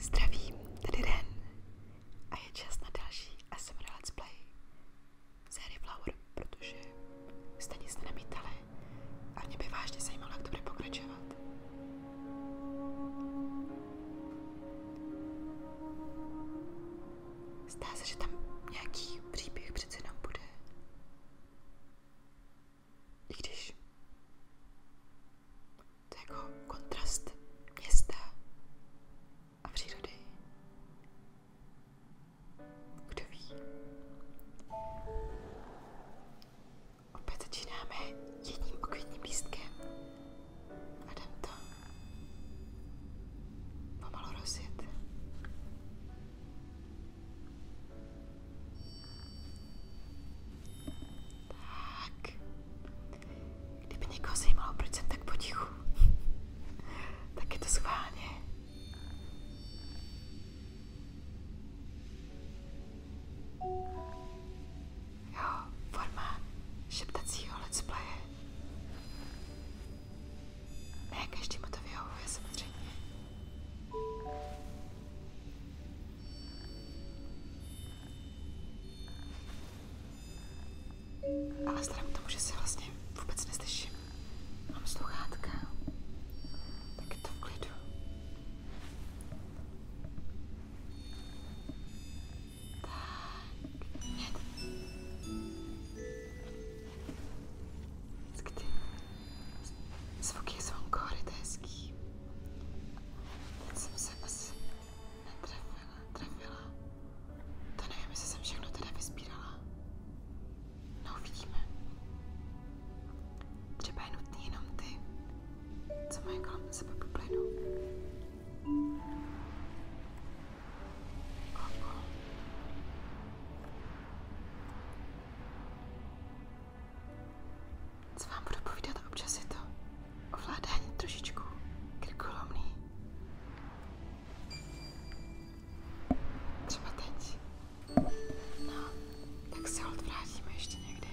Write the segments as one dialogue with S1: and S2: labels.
S1: Zdravím, tady Den a je čas na další ASMR Let's Play série Flower, protože jste nic nenamítali a mě by vážně zajímalo, jak to bude pokračovat. Zdá se, že tam nějaký příběh přece jenom bude. I když jako kontrast města a přírody. Kdo Opět začínáme jedním okvětním lístkem a jdem to pomalu tak. Kdyby někoho zajímalo, proč jsem tak potichu, tak je to schválně. Jo, forma šeptacího let's playe. Ne, každému to vyhovuje samozřejmě. Ale vzhledem k tomu, že se vlastně vůbec neslyším, mám sluchátka, tak je to v klidu. Tak, mějte. Kdy zvuky zvonko rytejský. Teď jsem se asi netrefila, trefila. To nevím, jestli jsem všechno teda vyspírala. No uvidíme. Třeba je nutný jenom ty, co mají kolem sebe bublinu. Opo. Co vám budu povídat, občas je to ovládání trošičku krkolomný. Třeba teď. No, tak se hold vrátíme ještě někdy.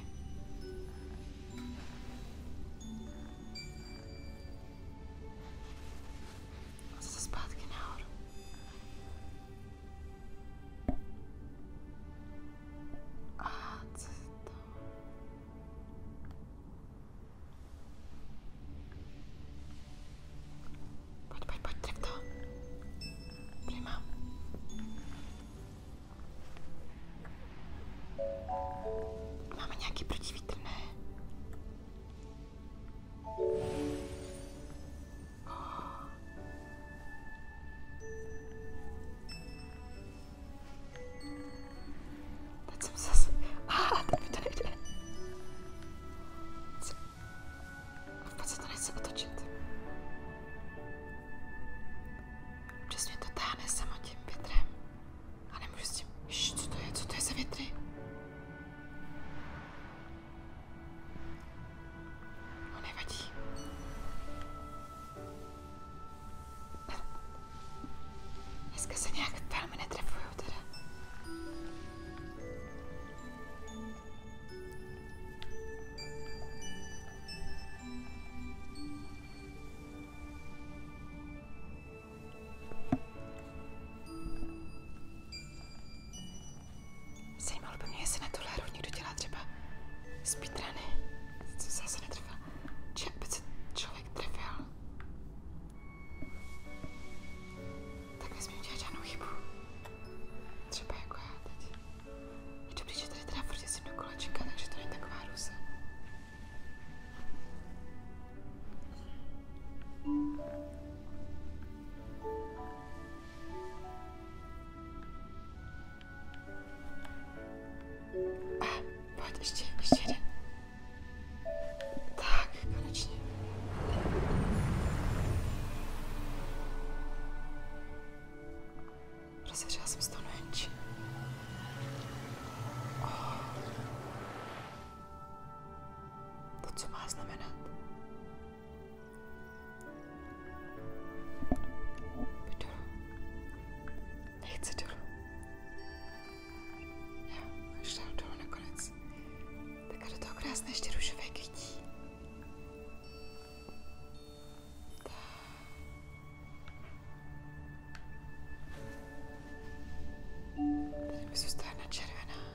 S1: A zase zpátky nahoru. A co se to? Pojď, pojď, pojď, tak to. Prima. Máme nějaký protivítr, ne? Teď jsem zase... Ah, teď mi to nejde. Vůbec se to nechce otočit. Občas mě to táhne sama tím větrem. A nemůžu s tím... Šš, co to je? Co to je za větry? No nevadí. Dneska se nějak velmi netrefuju teda. Zajímalo by mě, jestli na tohle hru někdo dělá třeba speedruny. Co se zase netrfil? Či aby se člověk trefil? Tak nesmím udělat žádnou chybu. Třeba jako já teď. Je dobrý, že tady teda furt jsem do kolečka, takže to není taková rusa. A, pojď, ještě, ještě jeden. Tak, konečně. Rozeřila jsem z toho nohenčí. Oh. To, co má znamenat. Jdu Nechci Já už dám dolů nakonec. Tak do toho krásné ještě rušové kytí. Tady mi zůstane červená.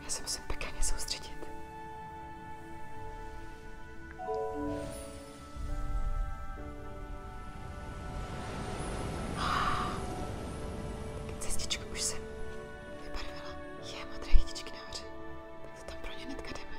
S1: Já se musím pekně soustředit. Cestičku už jsem vybarvila. Je modré chytičky nahoře. Tak to tam pro ně hnedka jdeme.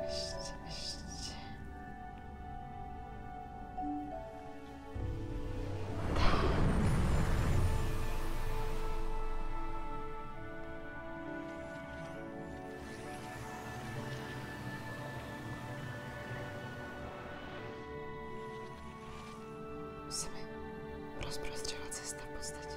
S1: Ještě, ještě. Se mi rozprostřela cesta v podstatě.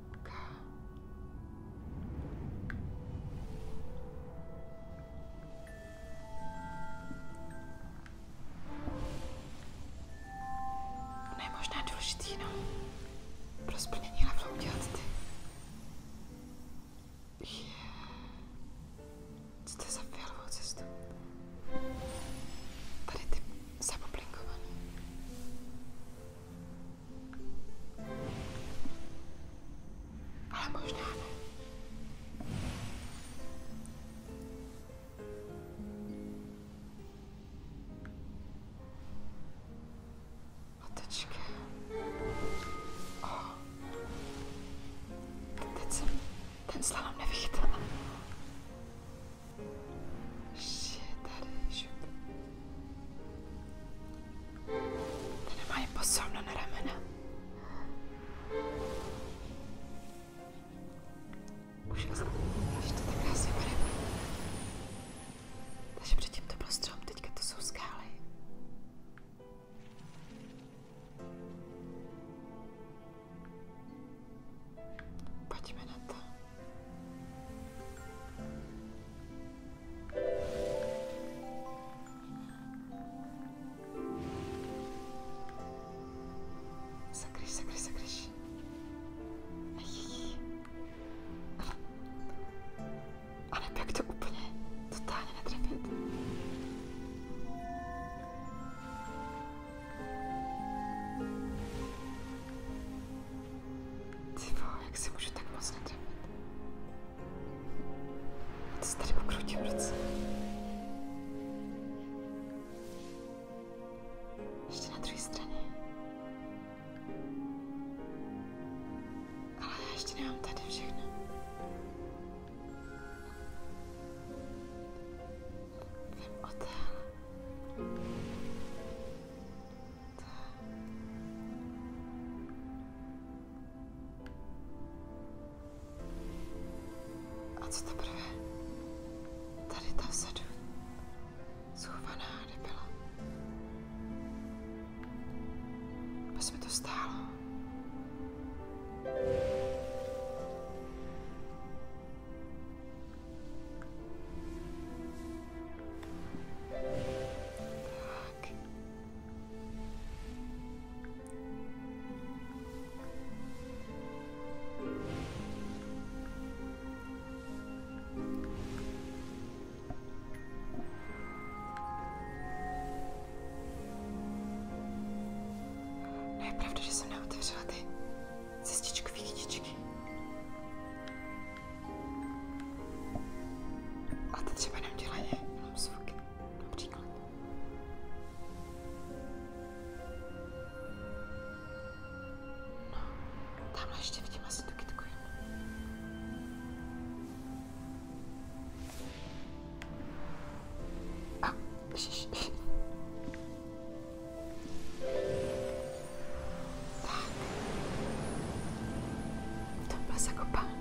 S1: Ono je možná důležitý, no. Pro splnění levlou udělat ty. Je. Co to je za fialovou cestu? Tady ty zapoblinkovaný. Ale možná ne. Matečka. Oh. Teď jsem ten slalom nevychytala. Shit, tady je šup. Normálně posouhnu na ramena. Úžasné, že to tak krásně barevné. Takže předtím to byl strom, teďka to jsou skály. Pojďme na to. Sakryš, sakryš, sakryš. A nebo jak to úplně totálně netrefit. Ty vole, jak si můžu tak moc nedrvit? Já se tady ukrutím ruce. Ještě na druhé straně. Ale já ještě nemám tady všechno. Vím o téhle. A co teprve? Tady ta vzadu schovaná nebyla. Bez mi to stálo back. No je pravda, že jsem neotevřela ty cestičkový kytičky. A to třeba jenom dělají jenom zvuky, například. No, tamhle ještě vidím asi tu kytku A, ježiš. Tak. To pes jako pán.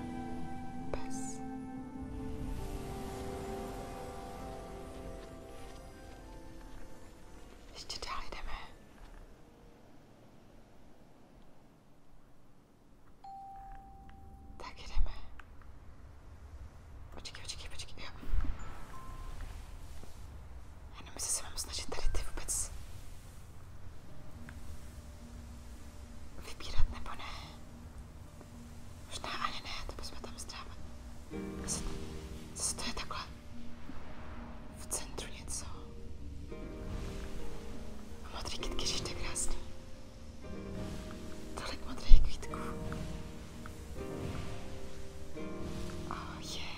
S1: Pes. Ještě dál jdeme. Tak jdeme. Počkej, počkej, počkej. Jo. Já nevím, jestli se mám snažit tady ty vůbec Vybírat nebo ne? Možná ani ne, to bychom tam strávili. Asi, co to je takhle? V centru něco. A modrý kytky, že to je krásný. Tolik modrých kvítků. Oh, je. Yeah.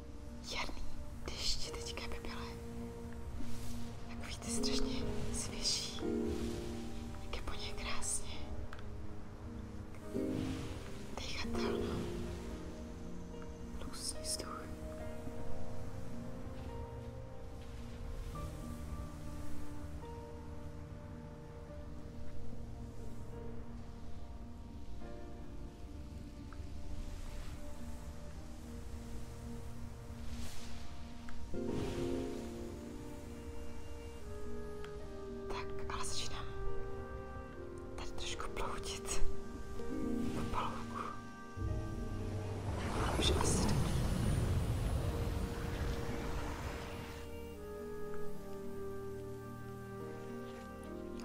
S1: jarný deště teďka by byly. Takový ty strašně svěží. Jak je po něj krásně. Dejchatelno. Luský vzduch. Tak, ale začínám tady trošku ploutit po palouku. Ale už asi dobrý.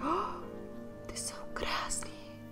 S1: Oh, ty jsou krásný.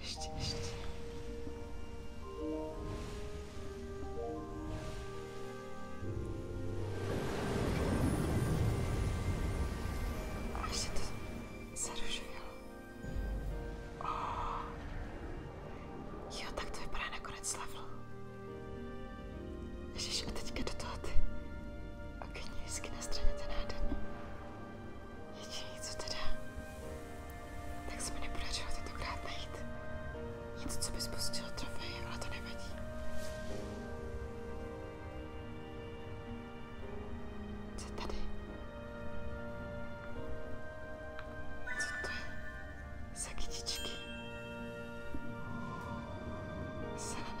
S1: Ještě, ještě. A ještě to se rozživilo. Oh. Jo, tak to vypadá nakonec level. Ježiš, a teďka do toho ty okenní na straně ten jeden. Jediný, co teda, tak se mi nepodařilo tentokrát najít. Nic, co by spustilo trofej, ale to nevadí. Co tady? Co to je? Za kytičky? Zelené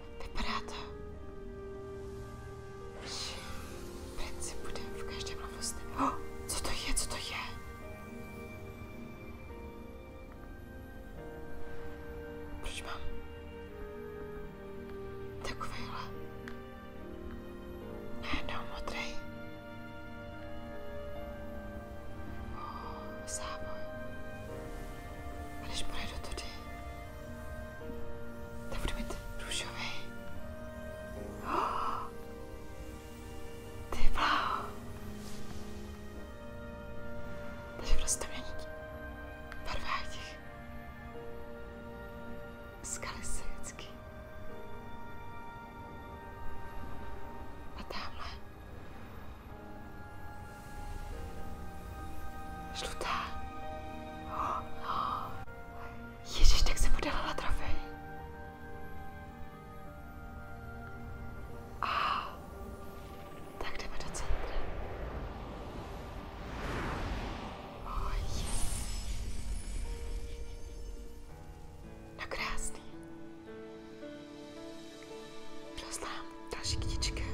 S1: Vypadá to, že v principu jde v každém levosnu. Oh, co to je, co to je? Proč mám takovýhle najednou modrý oh, závoj? A když pojedu tudy, to bude mít růžový. Oh, ty bláho. Takže prostě měnit barvách těch skaly se vždycky. A tamhle žlutá. Ježíš, tak jsem trofej. tak jdeme do centra. No, krásný. Rozdám další kytičky.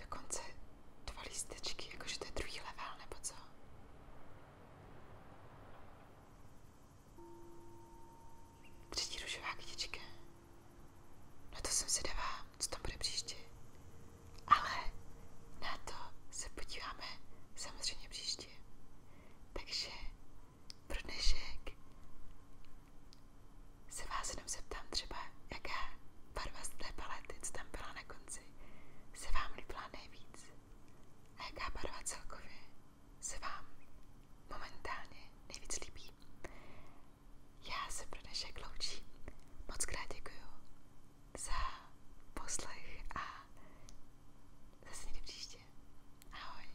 S1: Dokonce dva lístečky, jakože to je druhý level, nebo co? Třetí ružová kytička. No to jsem se dává, co tam bude příště. Ale na to se podíváme samozřejmě příště. Takže pro dnešek se vás jenom zeptám třeba, jaká barva z té palety, co tam byla na konci, se vám líbila nejvíc a jaká barva celkově se vám momentálně nejvíc líbí. Já se pro dnešek loučím. Moc krát děkuju za poslech a zase někdy příště. Ahoj.